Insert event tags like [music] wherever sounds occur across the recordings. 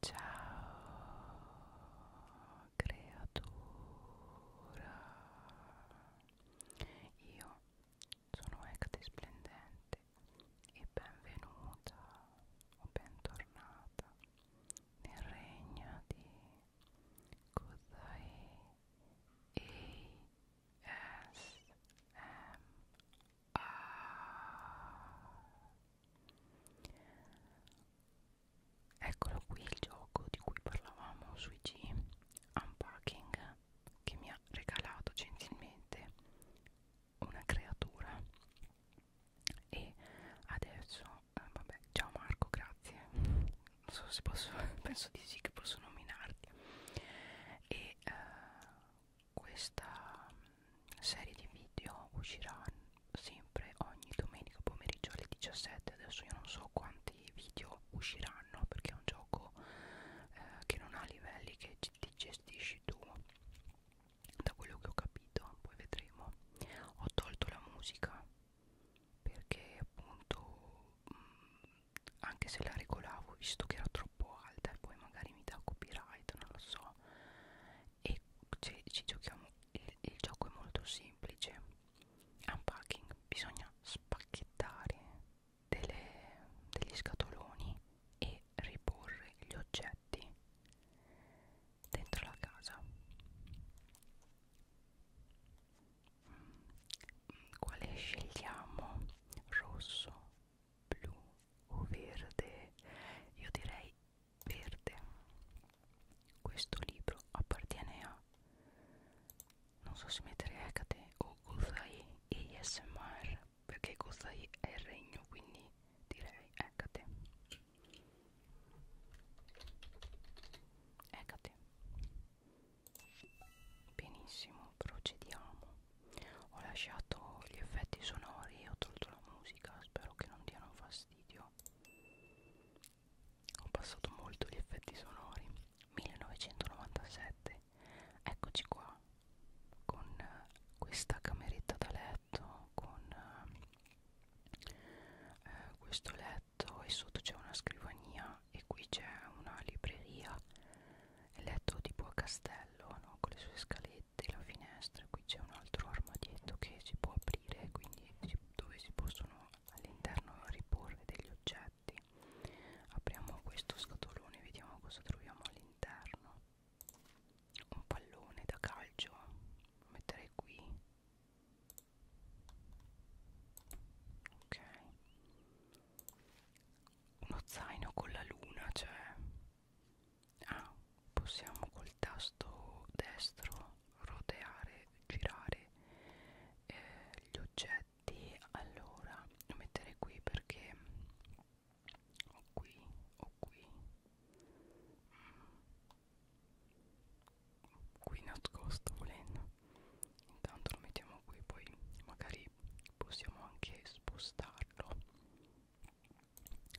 Ciao creatura Io sono Ecte Splendente e benvenuta o bentornata nel regno di Kodai ASMR Ah. Eccolo qui il gioco di cui parlavamo sui G Unpacking che mi ha regalato gentilmente una creatura e adesso eh, vabbè ciao Marco grazie non so se posso [laughs] penso di sì che posso nominarti e eh, questa mm, serie di video uscirà sempre ogni domenica pomeriggio alle 17 adesso io non so quanti video usciranno perché è un gioco eh, che non ha livelli che ti gestisci tu da quello che ho capito poi vedremo ho tolto la musica perché appunto mh, mm, anche se la regolavo visto che era troppo alta e poi magari mi dà copyright non lo so e ci, ci giochiamo il, il gioco è molto semplice unpacking bisogna spacchettare delle, degli scatoloni e riporre gli oggetti dentro la casa mm, quale scegliamo rosso blu o verde io direi verde questo libro appartiene a non so se mettere Hecate o Guzai ASMR perché Guzai è il regno quindi direi Hecate Hecate benissimo procediamo ho lasciato gli effetti sonori ho tolto la musica spero che non diano fastidio ho passato molto gli effetti sonori 1997 eccoci qua con eh, questa cameretta da letto con eh, eh, questo letto e sotto c'è una scrivania e qui c'è una libreria il letto tipo a castello no? con le sue scalette parete, la finestra, qui c'è un altro armadietto che si può aprire, quindi si, dove si possono all'interno riporre degli oggetti. Apriamo questo scatolone, vediamo cosa troviamo all'interno. Un pallone da calcio, lo metterei qui. Ok. Uno zaino con la luna, cioè ah, possiamo col tasto destro roteare girare eh, gli oggetti allora lo mettere qui perché o qui o qui mm. qui nascosto volendo intanto lo mettiamo qui poi magari possiamo anche spostarlo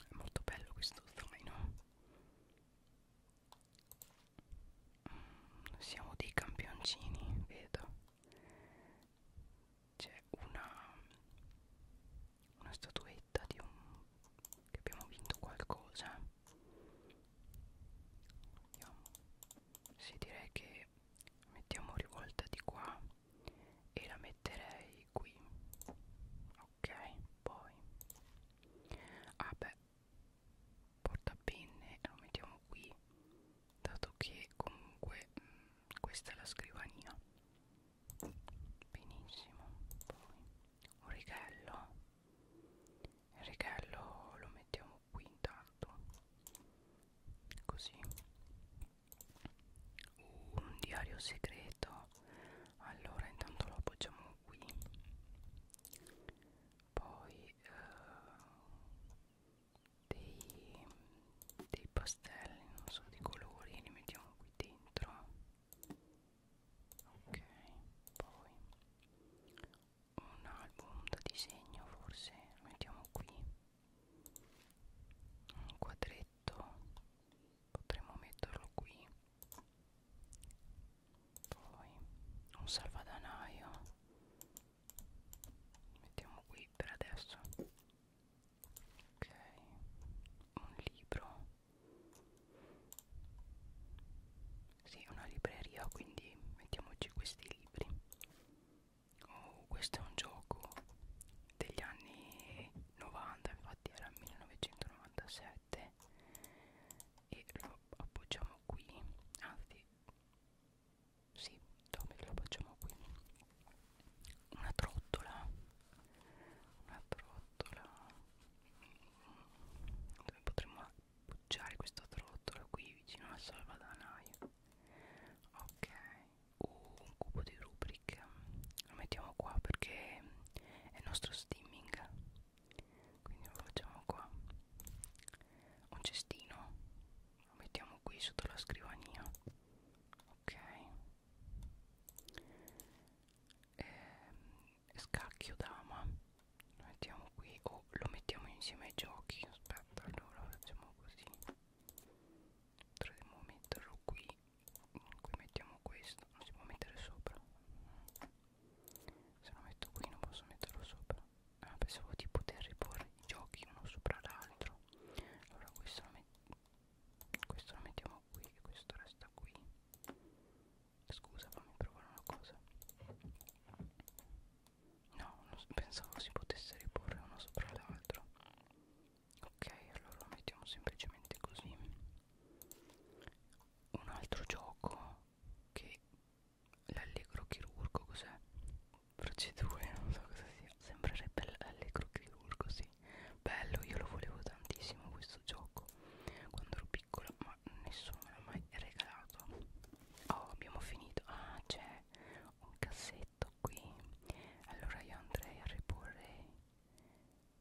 è molto bello questo zaino. Mm, siamo dei campioncini, vedo. C'è una, una statuetta di un che abbiamo vinto qualcosa. Vediamo. Sì, direi che mettiamo rivolta di qua e la metterei di qui ok poi ah beh portapenne lo mettiamo qui dato che comunque mh, mm, questa è la scrivania benissimo poi un righello il righello lo mettiamo qui intanto così un diario segreto completo allora intanto lo appoggiamo qui poi eh, dei, dei pastelli non so di colori li mettiamo qui dentro ok poi un album da disegno forse lo mettiamo qui un quadretto potremmo metterlo qui poi un salvadanaio mettiamo qui per adesso ok un libro sì una libreria quindi mettiamoci questi libri o oh, questo è un gioco degli anni 90 infatti era 1997 e lo appoggiamo qui anzi sì Tommy lo appoggiamo qui una trottola una trottola dove potremmo appoggiare questa trottola qui vicino al salvadanaio ok o un cubo di rubric lo mettiamo qua perché è il nostro steaming quindi lo facciamo qua un cestino lo mettiamo qui sotto la scrivania ok e ehm, scacchio dama lo mettiamo qui o oh, lo mettiamo insieme ai giochi aspetta allora facciamo così potremmo metterlo qui qui mettiamo questo non si può mettere sopra se lo metto qui non posso metterlo sopra ah, pensavo di poter riporre i giochi uno sopra l'altro allora questo lo, questo lo mettiamo qui e questo resta qui scusa fammi provare una cosa no non pensavo si potesse riporre uno sopra l'altro ok allora lo mettiamo semplicemente così un altro gioco che l'allegro chirurgo cos'è? procedure [laughs] non so cosa sia sembrerebbe l'allegro chirurgo sì bello io lo volevo tantissimo questo gioco quando ero piccola ma nessuno me l'ha mai regalato oh abbiamo finito ah c'è un cassetto letto qui allora io andrei a riporre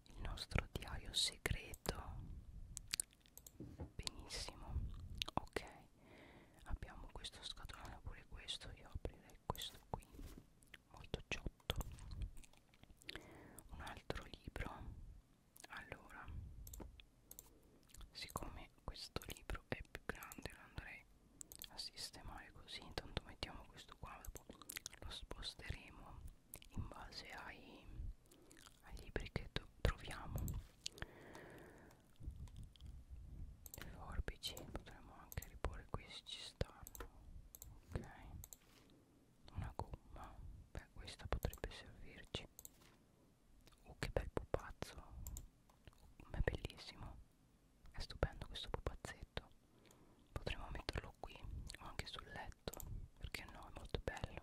il nostro diario segreto benissimo ok abbiamo questo scatolone pure questo io aprirei questo qui molto ciotto un altro libro allora siccome questo libro è più grande lo andrei a sistemare così intanto mettiamo questo qua lo sposteremo in base ai, ai libri che troviamo le forbici potremmo anche riporre qui se ci stanno ok una gomma beh questa potrebbe servirci oh che bel pupazzo ma oh, è bellissimo è stupendo questo pupazzetto. Potremmo metterlo qui o anche sul letto, perché no, è molto bello.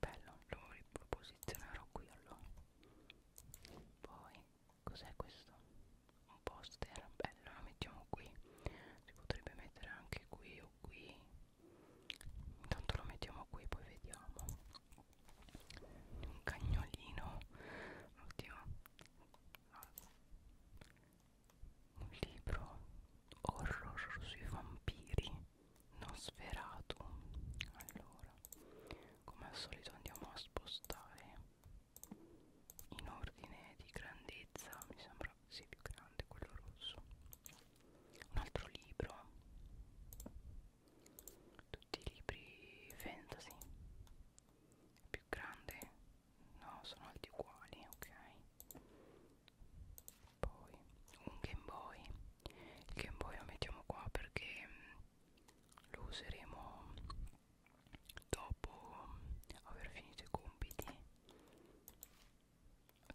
Bello, lo riposizionerò qui allora. Poi, cos'è questo? Un poster, bello, lo mettiamo qui. Si potrebbe mettere anche qui o qui. Intanto lo mettiamo qui, poi vediamo. Un cagnolino, oddio, un libro horror sui vampiri non sferato allora come al solito andiamo a spostare in ordine di grandezza mi sembra sia più grande quello rosso un altro libro tutti i libri fantasy più grande no sono alti uguali ok poi un Game Boy il Game Boy lo mettiamo qua perché mm, lo useremo dopo mm, aver finito i compiti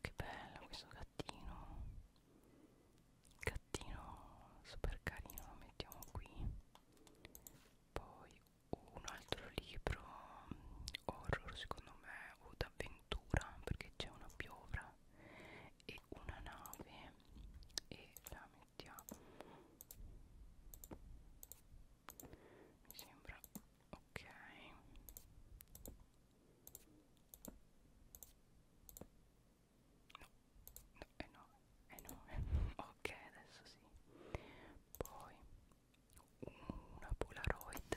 che bello questo gattino gattino super carino lo mettiamo qui poi un altro libro mm, horror secondo me o d'avventura perché c'è una piovra e una nave e la mettiamo mi sembra ok no no, eh no, eh no, eh no. [laughs] ok adesso sì poi una polaroid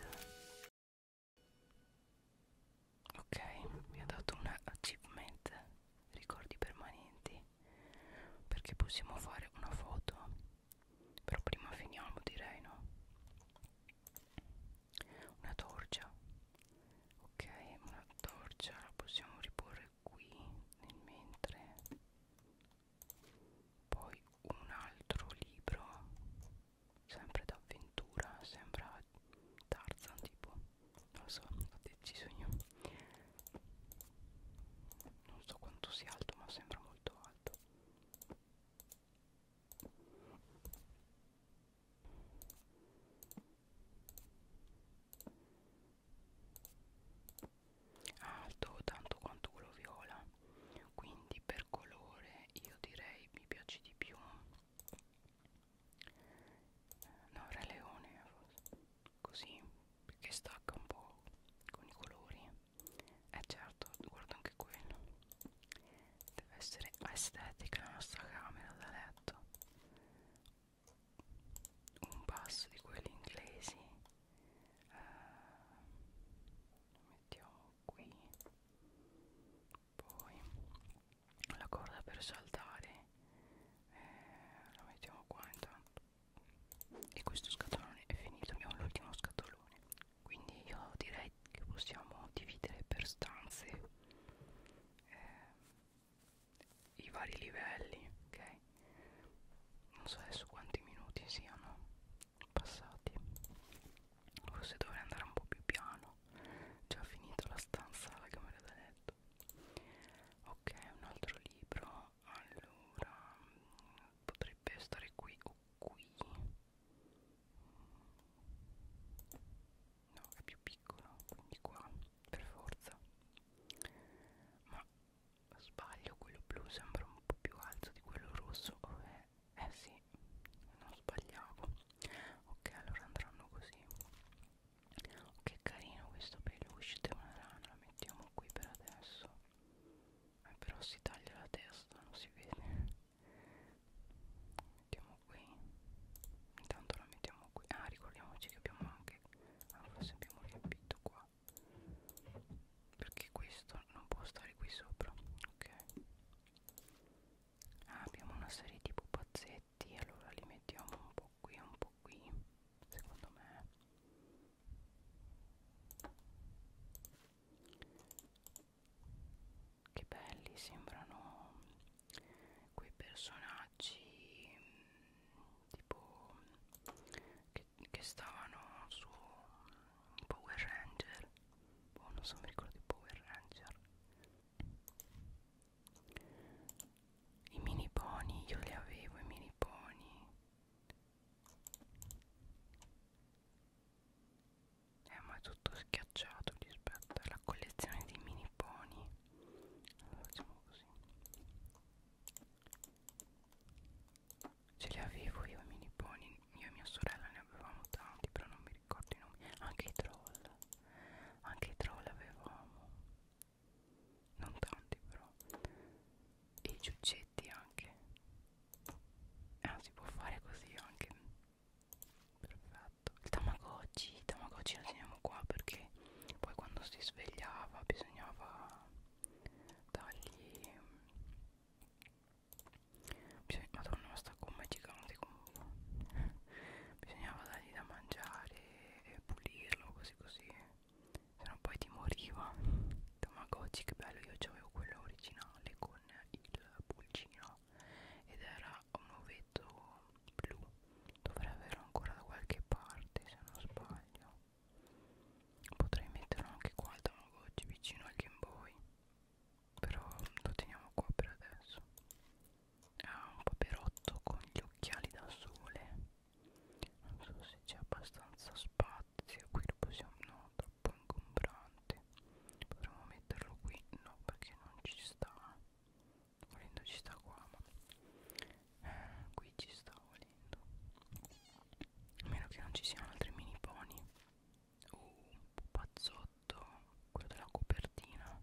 ok mi ha dato un achievement ricordi permanenti perché possiamo fare una foto però prima finiamo direi no una torcia ok una torcia la possiamo riporre qui nel mentre poi un altro libro sempre d'avventura sembra Tarzan tipo non so ho deciso io non so quanto sia alto ma sembra molto alto alto tanto quanto quello viola quindi per colore io direi mi piace di più no re leone così perché stacca un po' con i colori eh certo guarda anche quello deve essere estetica la nostra camera da letto un passo di quelli inglesi uh, mettiamo qui poi la corda per saltare eh, la mettiamo qua intanto e questo scatolone è finito abbiamo l'ultimo scatolone quindi io direi che possiamo dividere per stanze eh, i vari livelli, ok? Non so adesso quanti minuti siano passati. Forse dovrei andare un po' più piano. Già finito la stanza, la camera da letto. Ok, un altro libro. Allora, potrebbe stare qui o qui. No, è più piccolo, quindi qua per forza ma sbaglio quello blu sembra un po' più alto di quello rosso oh, eh, eh sì non sbagliavo ok allora andranno così oh, che carino questo peluche di una rana lo mettiamo qui per adesso eh, però si taglia la testa non si vede mettiamo qui intanto la mettiamo qui ah ricordiamoci che abbiamo anche ah, forse abbiamo riempito qua perché questo non può stare qui sopra ok ah, abbiamo una serie di pupazzetti allora li mettiamo un po' qui un po' qui secondo me che belli sembrano quei personaggi mh, mm, tipo che, che stavano su Power Ranger boh, non so mi ricordo di Power Ranger i mini pony io li avevo i mini pony eh ma è tutto schiacciato rispetto alla collezione di mini pony allora facciamo così ce li avevo io i mini pony io e mia sorella ne avevamo tanti però non mi ricordo i nomi anche i troll anche i troll avevamo non tanti però e i giuccetti anche ah si può fare così anche perfetto fatto il tamagotchi il tamagotchi lo teniamo qua perché poi quando si svegliava bisognava dargli bisogna, madonna ma sta gomma è gigante comunque [laughs] bisognava dargli da mangiare e pulirlo così così sennò poi ti moriva [laughs] tamagotchi che bello io avevo quello originale con il pulcino ed era un pezzo blu dovrei averlo ancora da qualche parte se non sbaglio potrei metterlo anche qua al Tamagotchi vicino al Game Boy però lo teniamo qua per adesso ha un paperotto con gli occhiali da sole non so se c'è abbastanza spazio qui lo possiamo no troppo ingombrante potremmo metterlo qui no perché non ci sta volendo ci sta qua ma eh, qui ci sta volendo a meno che non ci siano altri mini pony uh, pupazzotto quello della copertina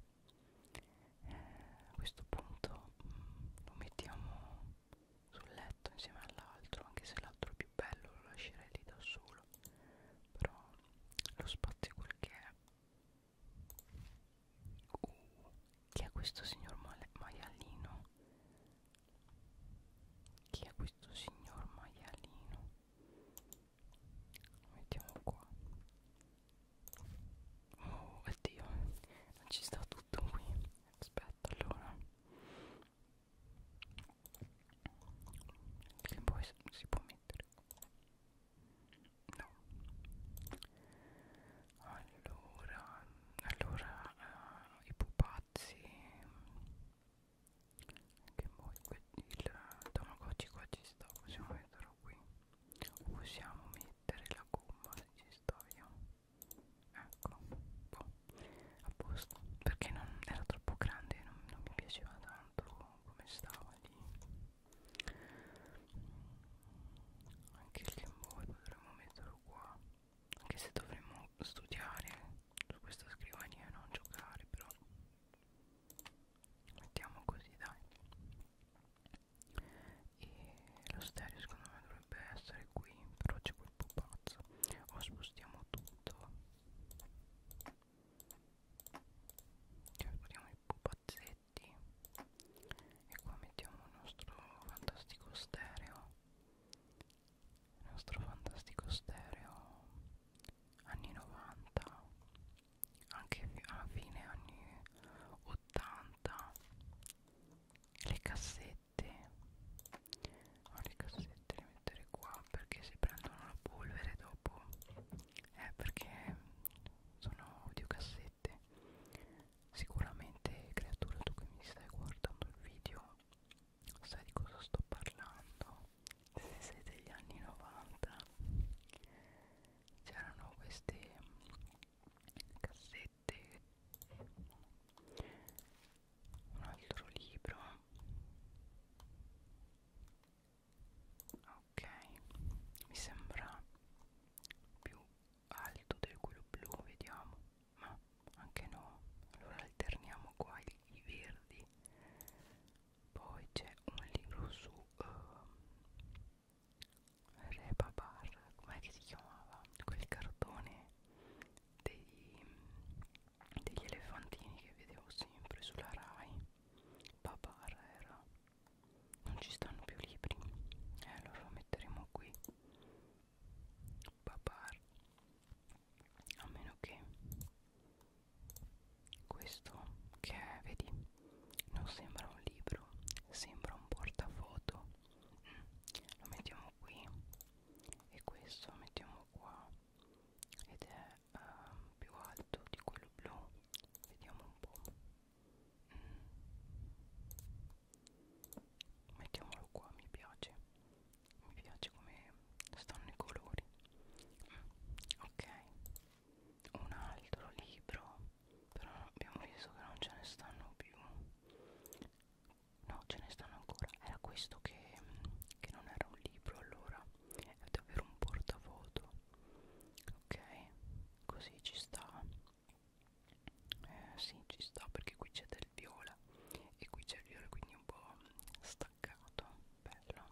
eh, a questo punto mh, mm, lo mettiamo sul letto insieme all'altro anche se l'altro è più bello lo lascerei lì da solo però lo spazio quel che è Uh, chi è questo signor maialino? Chi è questo signor maialino? Lo mettiamo qua. Oh, oddio, non ci sta tutto qui. Aspetta, allora. Che poi si può mettere no allora allora uh, i pupazzi che poi il tamagotchi qua ci sta possiamo metterlo qui possiamo mettere la gomma se ci sta via ecco boh. a posto perché non era troppo grande non, non mi piaceva tanto come stava lì anche il Game Boy potremmo metterlo qua anche se dovremmo studiare su questa scrivania e non giocare però mettiamo così dai e lo stereo secondo me dovrebbe essere qui però c'è quel pupazzo o spostiamo tutto cioè spostiamo il pupazzo pupazzetti e qua mettiamo il nostro fantastico stereo il nostro fantastico stereo anni 90 anche a fine anni 80 le cassette ma le cassette le mettere qua perché si prendono la polvere dopo eh, perché sono audiocassette sicuramente creatura tu che mi stai guardando il video sai di cosa sto parlando se sei degli anni 90 c'erano queste cassette un altro libro ok mi sembra più alto del quello blu vediamo ma anche no allora alterniamo qua i, i verdi poi c'è un libro su uh, ehm, Rebabar com'è che si chiamava quel cartone dei, degli elefantini che vedevo sempre sulla Rai Babar era non ci stanno più libri e eh, allora lo metteremo qui papar a meno che questo che è, vedi non sembra un libro sembra un portafoto mm. lo mettiamo qui e questo lo mettiamo qua ed è uh, più alto di quello blu vediamo un po' mettiamolo qua mi piace mi piace come stanno i colori ok un altro libro però abbiamo visto che non ce ne stanno più no ce ne stanno ancora era questo che, che non era un libro allora è davvero un portafoto ok così ci sta eh, sì ci sta perché qui c'è del viola e qui c'è il viola quindi un po' staccato bello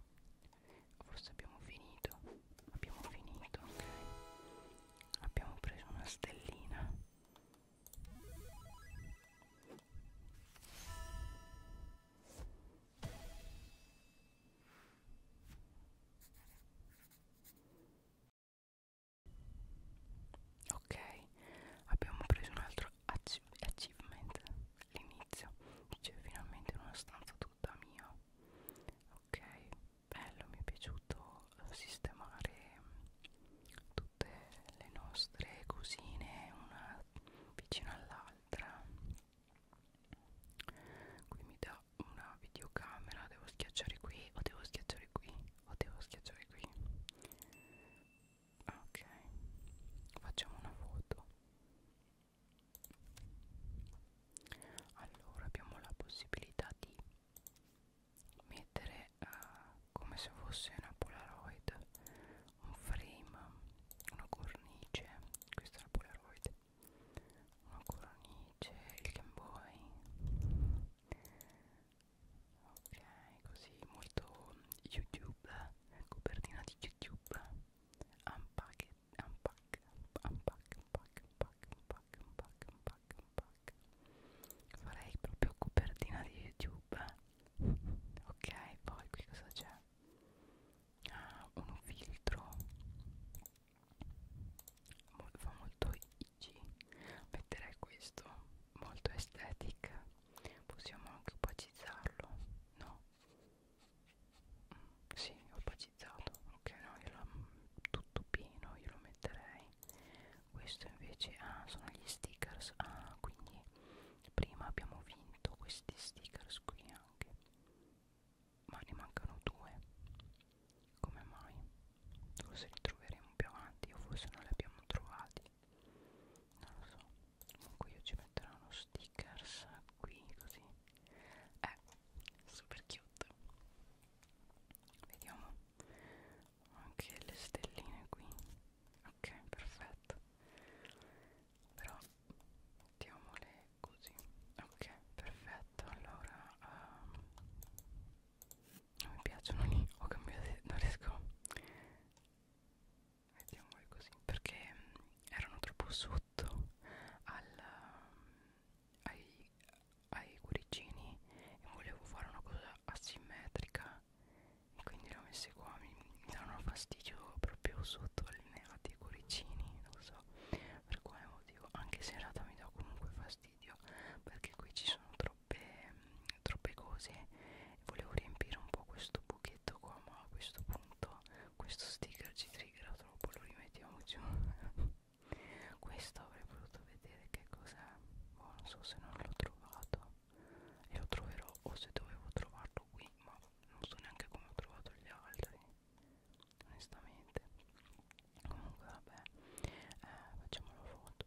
forse abbiamo finito abbiamo finito ok abbiamo preso una stellina Ok, abbiamo preso un altro achievement. L'inizio c'è finalmente una stanza tutta mia. Ok, bello, mi è piaciuto sistemare mm, tutte le nostre cosine una vicino all'altra qui mi dà una videocamera devo schiacciare qui o devo schiacciare qui o devo schiacciare qui ok facciamo una foto allora abbiamo la possibilità di mettere eh, come se fosse una polaroid un frame una cornice questa è la polaroid una cornice, il Game Boy ok così molto YouTube copertina di YouTube unpack unpack unpack unpack unpack unpack unpack unpack unpack farei proprio copertina di YouTube ok poi qui cosa c'è un filtro fa molto IG metterei questo molto aesthetic possiamo anche opacizzarlo no si mm, sì, opacizzato ok no io lo, mm, tutto pieno io lo metterei questo invece ah, sono gli stickers ah quindi prima abbiamo vinto questi stickers qui anche ma ne mancano due come mai? forse li troveremo più avanti o forse non li abbiamo trovati non lo so comunque io ci metterò uno stickers qui così eh super cute vediamo anche le stelline qui ok perfetto però mettiamole così ok perfetto allora um, non mi piacciono lì ho cambiato [laughs] non riesco mettiamole così perché um, erano troppo sotto al, um, ai, ai cuoricini e volevo fare una cosa asimmetrica e quindi le ho messe qua mi, mi davano fastidio proprio sotto al allineati i cuoricini non so per quale motivo anche se in realtà mi dà comunque fastidio perché qui ci sono troppe, mh, troppe cose volevo riempire un po' questo buchetto qua ma a questo punto questo sticker ci triggera troppo lo rimettiamo giù [laughs] questo avrei voluto vedere che cos'è boh, non so se non l'ho trovato e lo troverò o se dovevo trovarlo qui ma non so neanche come ho trovato gli altri onestamente comunque vabbè eh, facciamo una foto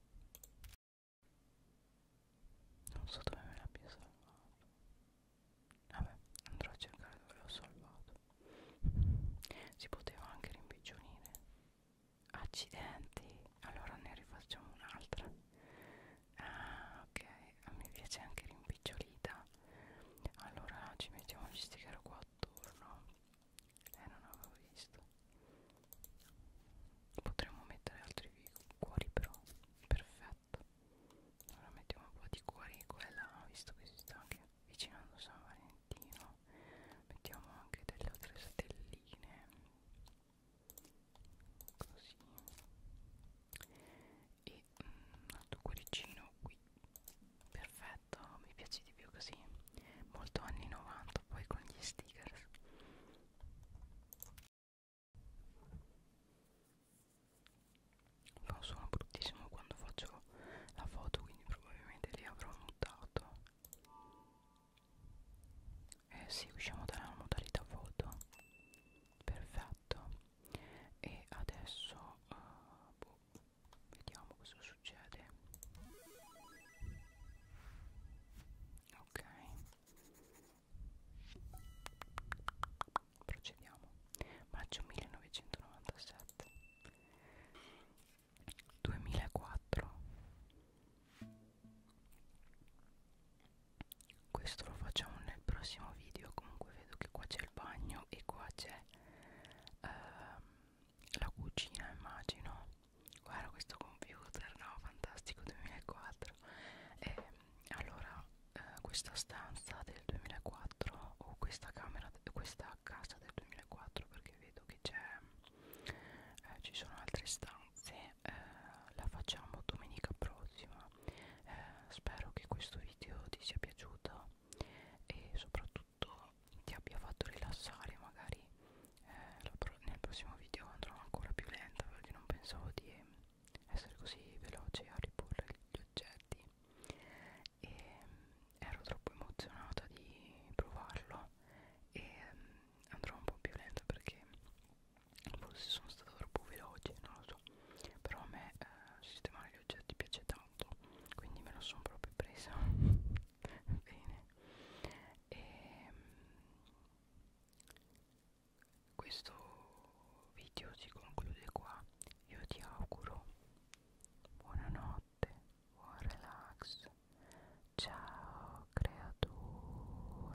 non so dove me l'abbia salvato vabbè andrò a cercare dove l'ho salvato si poteva anche rimpiccionire accidenti allora ne rifacciamo un'altra ah ok mi piace anche rimpicciolita allora ci mettiamo gli sticker qua attorno e eh, non avevo visto potremmo mettere altri cuori però perfetto allora mettiamo un po' di cuori quella visto che si sta anche avvicinando San Valentino mettiamo anche delle altre stelline così e mm, un altro cuoricino qui perfetto mi piace di più così molto anni 90 poi con gli stickers fa un suono bruttissimo quando faccio la foto quindi probabilmente li avrò mutato eh sì usciamo dalla modalità foto perfetto e adesso uh, boh, vediamo cosa succede ok procediamo maggio 1997 2004 questo lo facciamo nel prossimo video comunque vedo che qua c'è il bagno e qua c'è ehm, la cucina immagino guarda questo computer no fantastico 2004 e allora eh, questa stanza del 2004 o questa camera questa casa del 2004 perché vedo che c'è eh, ci sono altre stanze eh, la facciamo domenica prossima eh, spero che questo video ti sia piaciuta e soprattutto ti abbia fatto rilassare magari eh, pro nel prossimo video andrò ancora più lenta perché non pensavo di essere così veloce a riporre gli oggetti e ehm, ero troppo emozionata di provarlo e ehm, andrò un po' più lenta perché forse sono stata troppo veloce non lo so però a me eh, sistemare gli oggetti piace tanto quindi me lo sono proprio presa [laughs] bene e ehm, questo video si conclude qua io ti auguro buonanotte buon relax ciao creatura